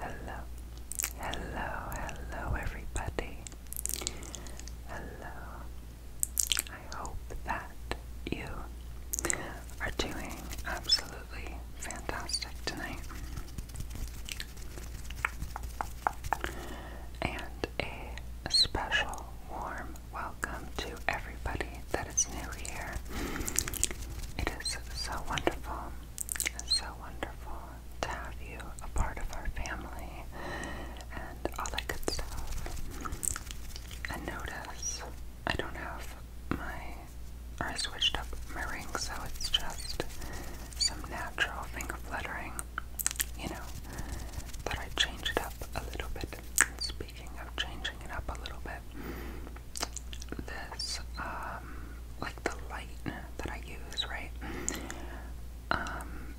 Hello, hello, hello, everybody. Hello. I hope that you are doing absolutely fantastic tonight. And a special warm welcome to everybody that is new here. It is so wonderful, so wonderful to have you a part of our family and all that good stuff. And notice I don't have my, or I switched up my ring, so it's just some natural finger fluttering, you know, but I changed it up a little bit speaking of changing it up a little bit, this, um, like the light that I use, right? Um,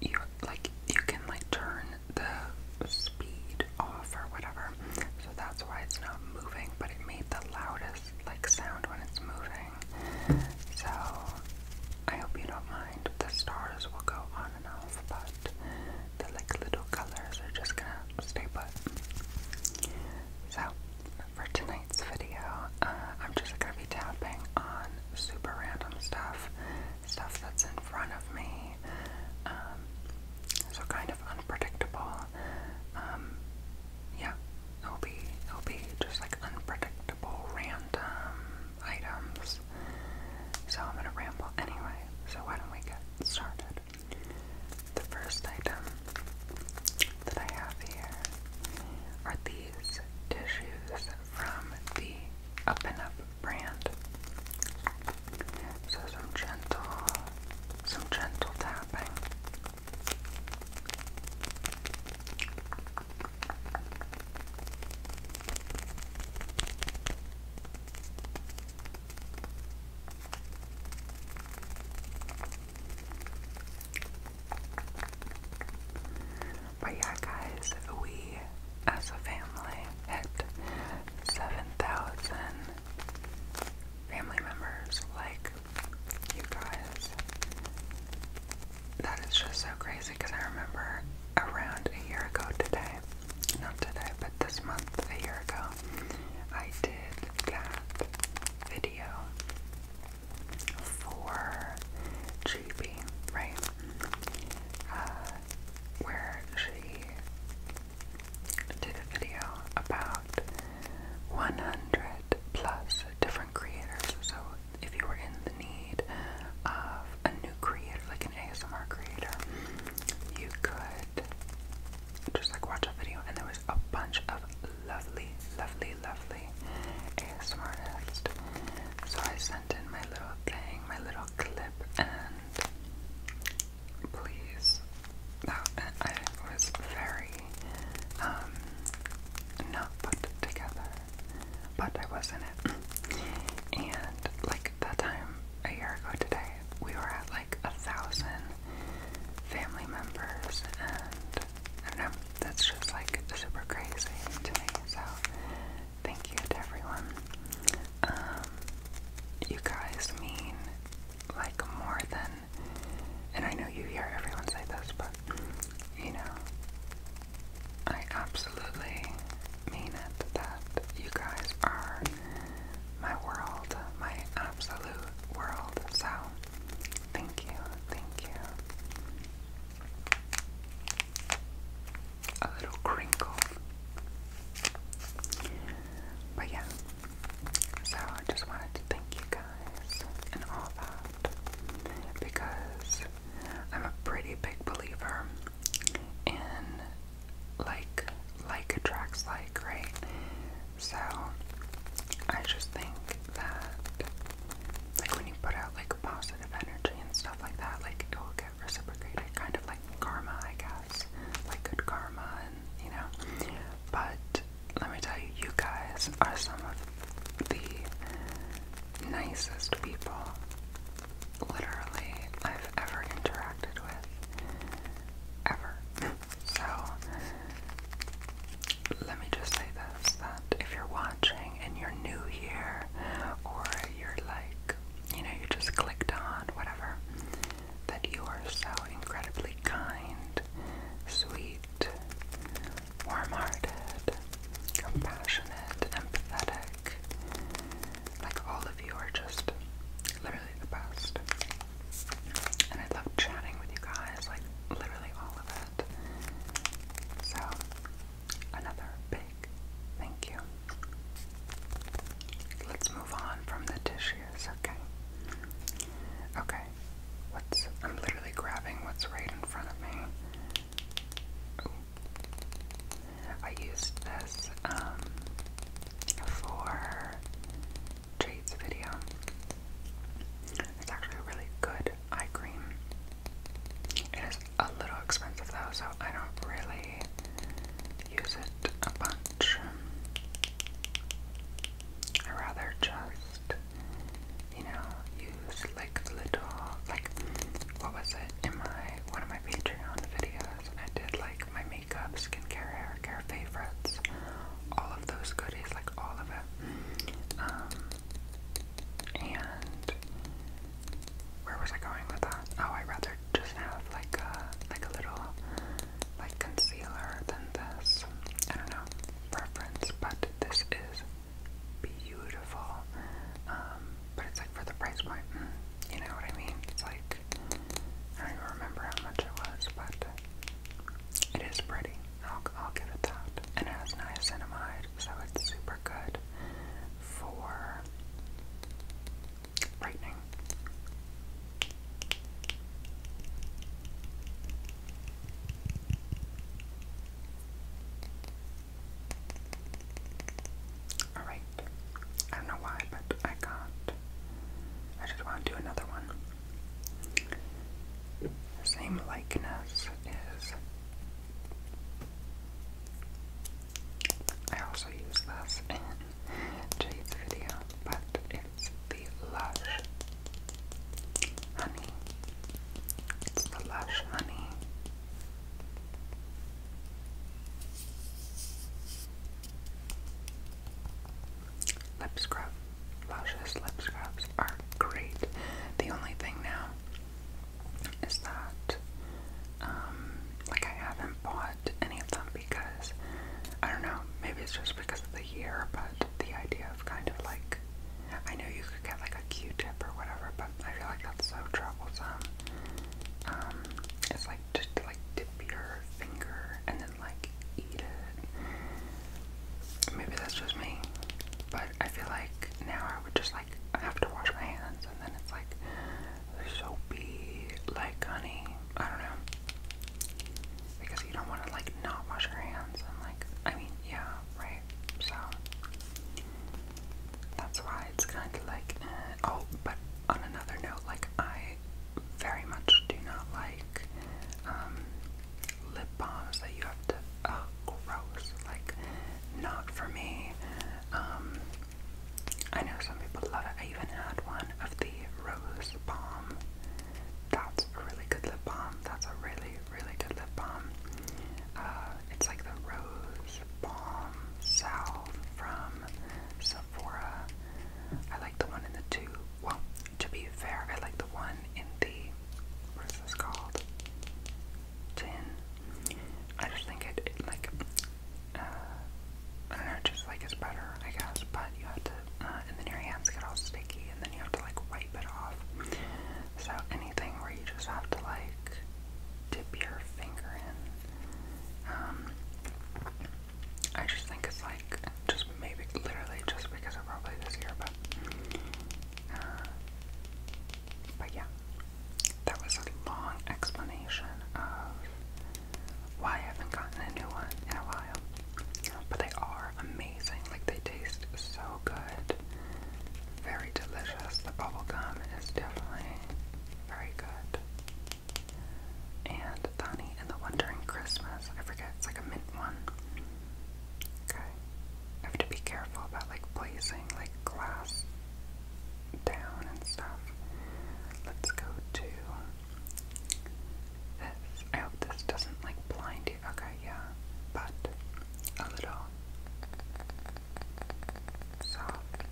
you like you can like turn the speed off or whatever, so that's why it's not moving. But it made the loudest like sound when it's moving. So I hope you don't mind. The stars will go on and off, but the like little colors are just gonna stay put. So for tonight's video, uh, I'm just gonna be tapping on super random stuff, stuff that's in front of me, um, so kind of unpredictable. Um, yeah, it'll be it'll be just like unpredictable random items so I'm gonna ramble anyway, so why don't we get started? The first item that I have here are these tissues from the Up and Up brand. So some gentle, some gentle tapping. But yeah, guys, we as a family hit 7,000 family members. Like, you guys. That is just so crazy because I remember around a year ago today, not today, but this month, a year ago, I did that video for GB, right? Uh, where she did a video about 100 plus different creators. So, if you were in the need of a new creator, like an ASMR creator, you could just like watch a video and there was a bunch of lovely, lovely, lovely ASMR So I sent in my little thing, my little clip, and please, that I was very um, not put together, but I was in it. And like that time a year ago today, we were at like a thousand family members, and I don't know, that's just like super crazy to So, thank you to everyone. Um, you guys mean like more than, and I know you hear everyone say this, but you know, I absolutely mean it that you guys are my world, my absolute world. So, thank you, thank you. A little crinkle. But yeah, so I just wanted to thank you guys and all that because I'm a pretty big believer and like like attracts like, right? So I just think that like when you put out like positive energy and stuff like that, like it will get reciprocated, kind of like karma, I guess. Like good karma and you know. But let me tell you, you guys are some of the nicest people literally I've ever interacted with. Ever. so, let me just say this that if you're watching and you're new here, or you're like, you know, you just clicked on, whatever, that you are so incredibly kind, sweet, warm hearted, compassionate, empathetic, like all of you are just literally the best. And I love chatting with you guys, like literally all of it. So another big thank you. Let's move on from the tissues, okay? Okay. What's I'm literally grabbing what's right in front of me. I used this um, for Jade's video. It's actually a really good eye cream. It is a little expensive though, so I don't really use it a bunch. I rather just, you know, use like little, like, what was it in my, one of my Patreon videos, and I did like my makeup, skincare, hair care favorites, all of those goodies, like all of it. Um, and where was I going with that? Oh, I'd rather just have like a like a little like concealer than this. I don't know preference, but this is beautiful. Um, but it's like for the price point, mm, you know what I mean? It's like, I don't even remember how much it was, but it is pretty. I'll, I'll give it that. And it has niacinamide, so it's super good for brightening. Alright. I don't know why, but I can't. I just want to do another one. Same likeness is. I also use this in Jade's video, but it's the Lush Honey. It's the Lush Honey. Lip scrub. Luscious lip scrubs are great. The only thing now is that, um, like I haven't bought any of them because, I don't know, maybe it's just because of the year, but the idea of kind of like, I know you get like a Q-tip or whatever, but I feel like that's so troublesome. Um, it's like just like dip your finger and then like eat it. Maybe that's just me, but I feel like now I would just like have to wash my hands and then it's like soapy, like honey. I don't know. Because you don't want to like not wash your hands and like I mean yeah right so that's why it's kind of like, uh, oh, but on another note, like, I very much do not like um, lip balms that you have to, oh, gross, like, not for me. Um, I know some people love it. I even had one of the Rose Balm. That's a really good lip balm. That's a really, really good lip balm. Uh, it's like the Rose Balm Salve from Sephora. I like the one in the tube. Well, to be fair, I like the one in the what's this called? Tin. I just think it, it like uh, I don't know, just like it's better, I guess. But you have to, uh, and then your hands get all sticky, and then you have to like wipe it off. So anything where you just have to like dip your finger in. Um, I just think it's like just maybe literally just because of probably this year, but uh, but yeah, that was a long explanation of why I haven't gotten a new one in a while. But they are amazing. Like they taste so so good. Very delicious. The bubblegum is definitely very good. And Bonnie and the Wandering Christmas. I forget, it's like a mint one. Okay. I have to be careful about like placing like glass down and stuff. Let's go to this. I hope this doesn't like blind Okay, yeah. But a little soft.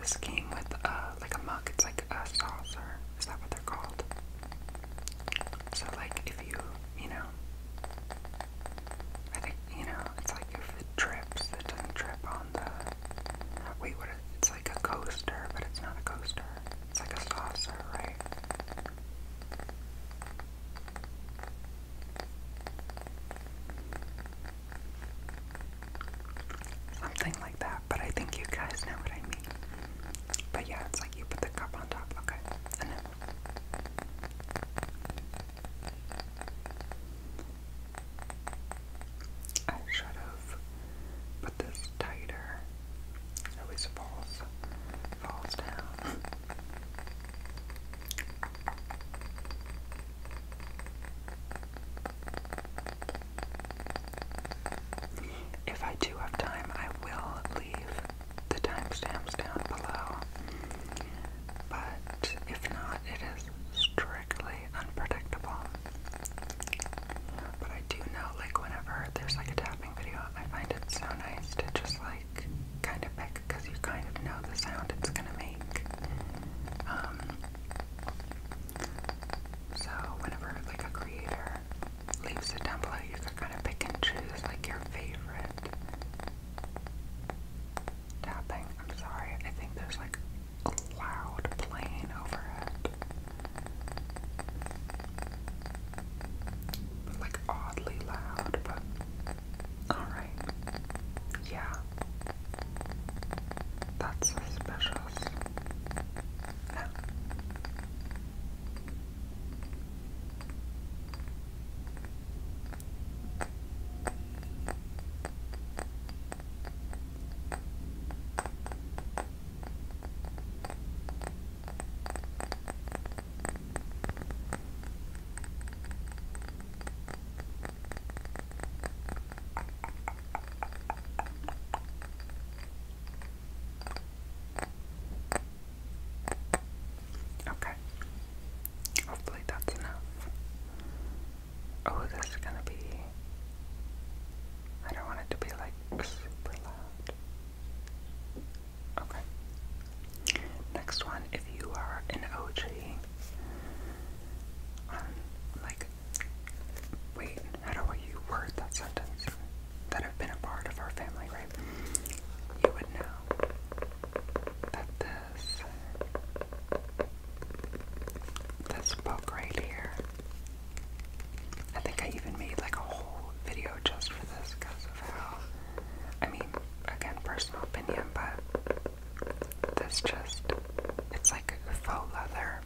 This came with a uh, like a mug. It's like a saucer. Is that what they're called? So like if you you know, I think you know it's like if it trips, it doesn't trip on the Wait, what? Is, it's like a coaster, but it's not a coaster. It's like a saucer, right? Something like that, but I think you guys know what I mean. But yeah, it's like you put the cup on top. Okay, I should have this tighter. At falls, falls down. If I do have time, I will leave the timestamps down below. But if not, it is strictly unpredictable. But I do know, like, whenever there's like a tapping video, I find it so nice to just like kind of pick because you kind of know the sound it's gonna make. Um, so whenever like a creator leaves a template, you can kind of pick and choose like your favorite tapping. I'm sorry, I think there's like a loud plane overhead. Like oddly loud, but alright. Yeah. That's suspicious. Yeah. Okay. Hopefully that's enough. Oh, this is gonna be. I don't want it to be like super loud. Okay. Next one, if you are an OG, um, like, wait, how do you word that sentence? That have been a part of our family, right? You would know that this. This book right here I think I even made like a whole video just for this because of how, I mean, again, personal opinion, but this just, it's like faux leather.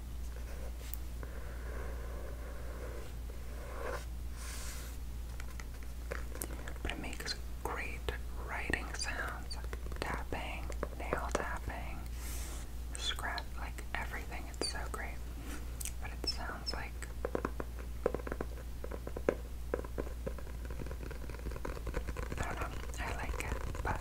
But it makes great writing sounds, tapping, nail tapping scrap like everything. It's so great. But it sounds like I don't know. I like it, but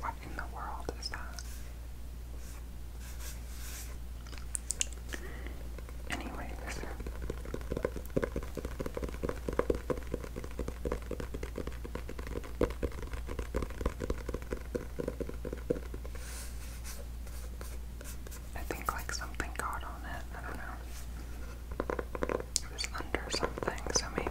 What in the world is that? Anyways. I think like something got on it. I don't know. It was under something, so maybe.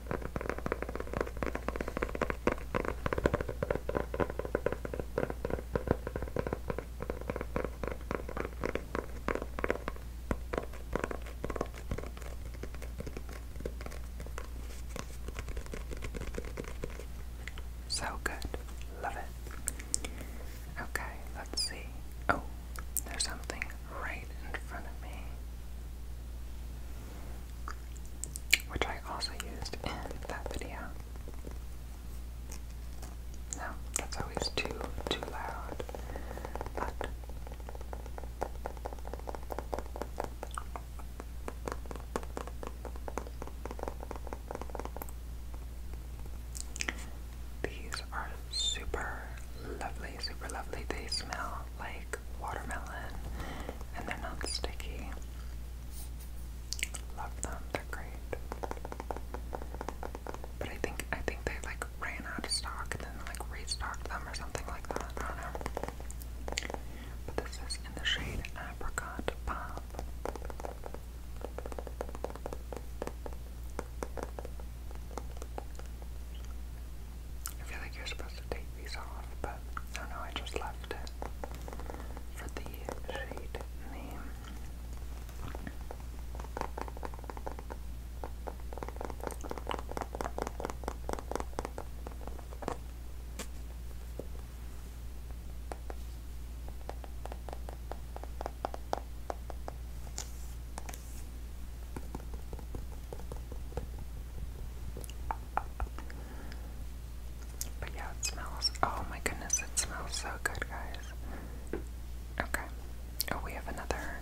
So good. Love it. Okay, let's see. Oh, there's something right in front of me, which I also used in that video. No, that's always too, too loud, but these are super lovely, super lovely. They smell like watermelon and they're not sticky. Love them, they're great. But I think I think they like ran out of stock and then like restocked them or something like that. I don't know. But this is in the shade Apricot Pop. I feel like you're supposed to take these off, but I don't know, I just left it for the shade name. But yeah, it smells. Oh my goodness, it smells so good, guys. Okay. Oh, we have another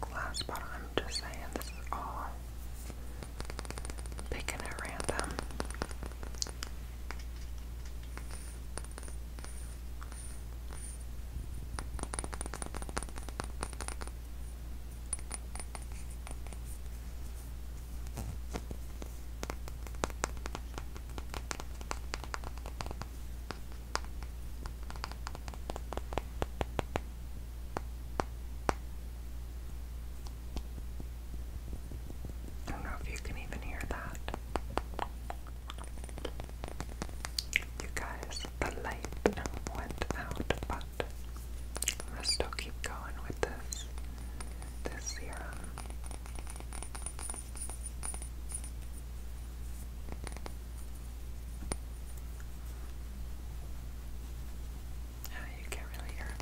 glass bottle. I'm just saying, this is all picking at random. I don't know if you can even hear that. You guys, the light went out, but I'm gonna still keep going with this this serum. Oh, you can't really hear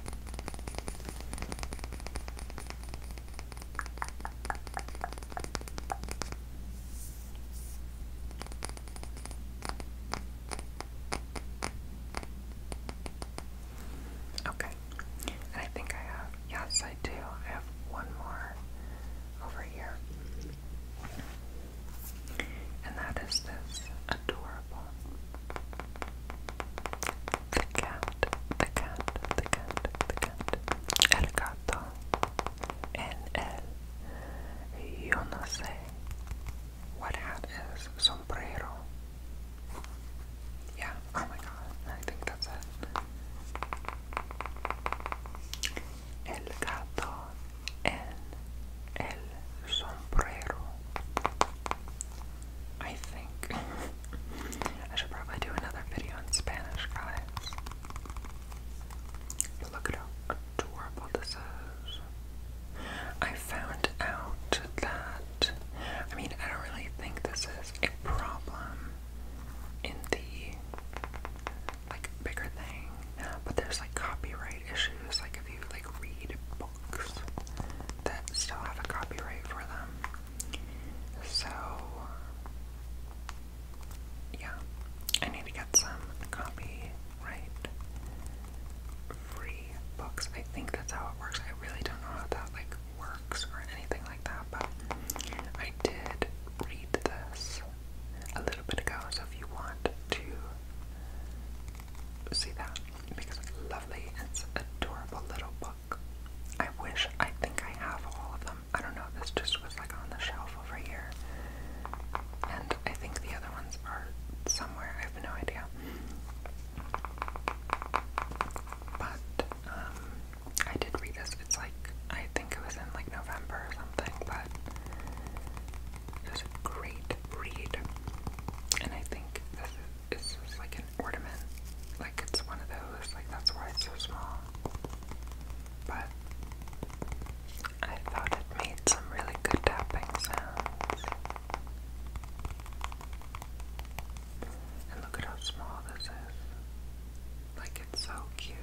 Okay. And I think I have, yes, I do. I have one more over here. And that is this adorable. The cat, the cat, the cat, the cat. El gato, en el. Yo no sé. What hat is sombrero? Yeah, oh my god, I think that's it. El gato el sombrero. I think. I should probably do another video in Spanish, guys look at how adorable this is. I found out that, I mean, I don't really think this is a problem in the, like, bigger thing, but there's, like, copyright issues, like, if you, like, read books that still have a copyright for them. So, yeah, I need to get some copyright free books. I think that's how it works. I really don't know how that like works or anything like that, but I did read this a little bit ago, so if you want to see that, because it's lovely, it's adorable little book. I wish I think I have all of them. I don't know, this just was like on the shelf over here. And I think the other ones are somewhere, I have no idea. But, um, I did read this, it's like, I think it was in like November or something, but it was a great read. And I think this is like an ornament, like it's one of those, like that's why it's so small but I thought it made some really good tapping sounds. And look at how small this is. Like, it's so cute.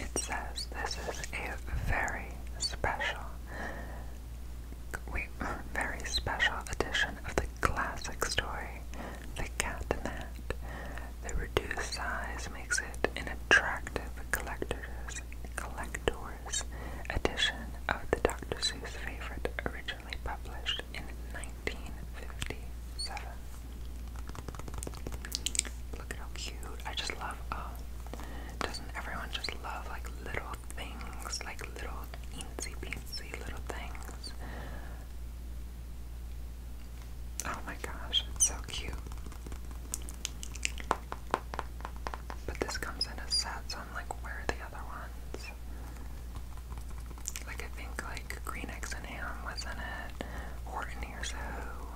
It says this is a very special, very special edition of the classic story the catnat. The reduced size makes it an attractive collector's, collector's edition of the Dr. Seuss favorite, originally published in 1957. Look at how cute. I just love, um, doesn't everyone just love like little things, like little eensy beensy little things? Oh my gosh, it's so cute. But this comes in a set, so I'm like, where are the other ones? Like, I think, like, Green and Ham was in it, Horton Hears Who,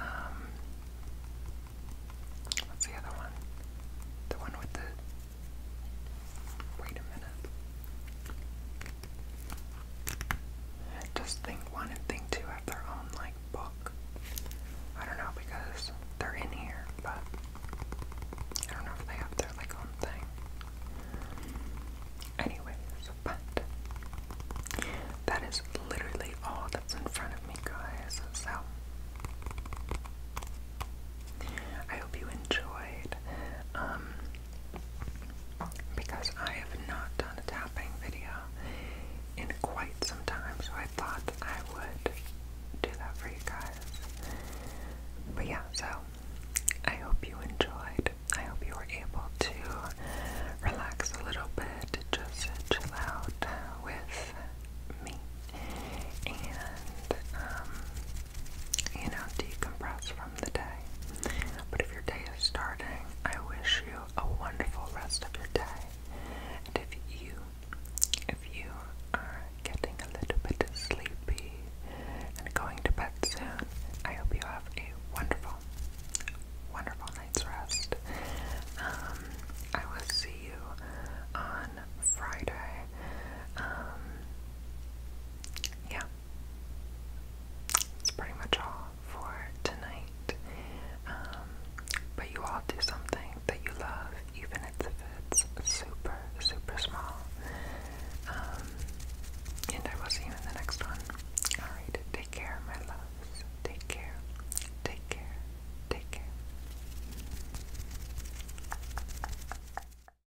um, what's the other one? The one with the, wait a minute. Does Thing 1 and Thing 2 have their own, like, book? I don't know because they're in here, but I don't know if they have their, like, own thing. Anyways, but that is literally all that's in front of me, guys, so. I hope you enjoyed. Um, because I have not done a tapping video in quite some time, so I thought I would do that for you guys. But yeah, so I hope you enjoyed. I hope you were able to relax a little bit, just chill out with me. And um, you know, decompress from the day. But if your day is starting, I wish you a wonderful rest of your day. And if you, if you are getting a little bit sleepy and going to bed soon, I hope you have a wonderful, wonderful night's rest. Um, I will see you on Friday. Um, yeah, that's pretty much all for tonight. Um, but you all do something that you love, even if it's super, super small. Um, and I will see you in the next one. Alright, take care, my loves. Take care. Take care. Take care.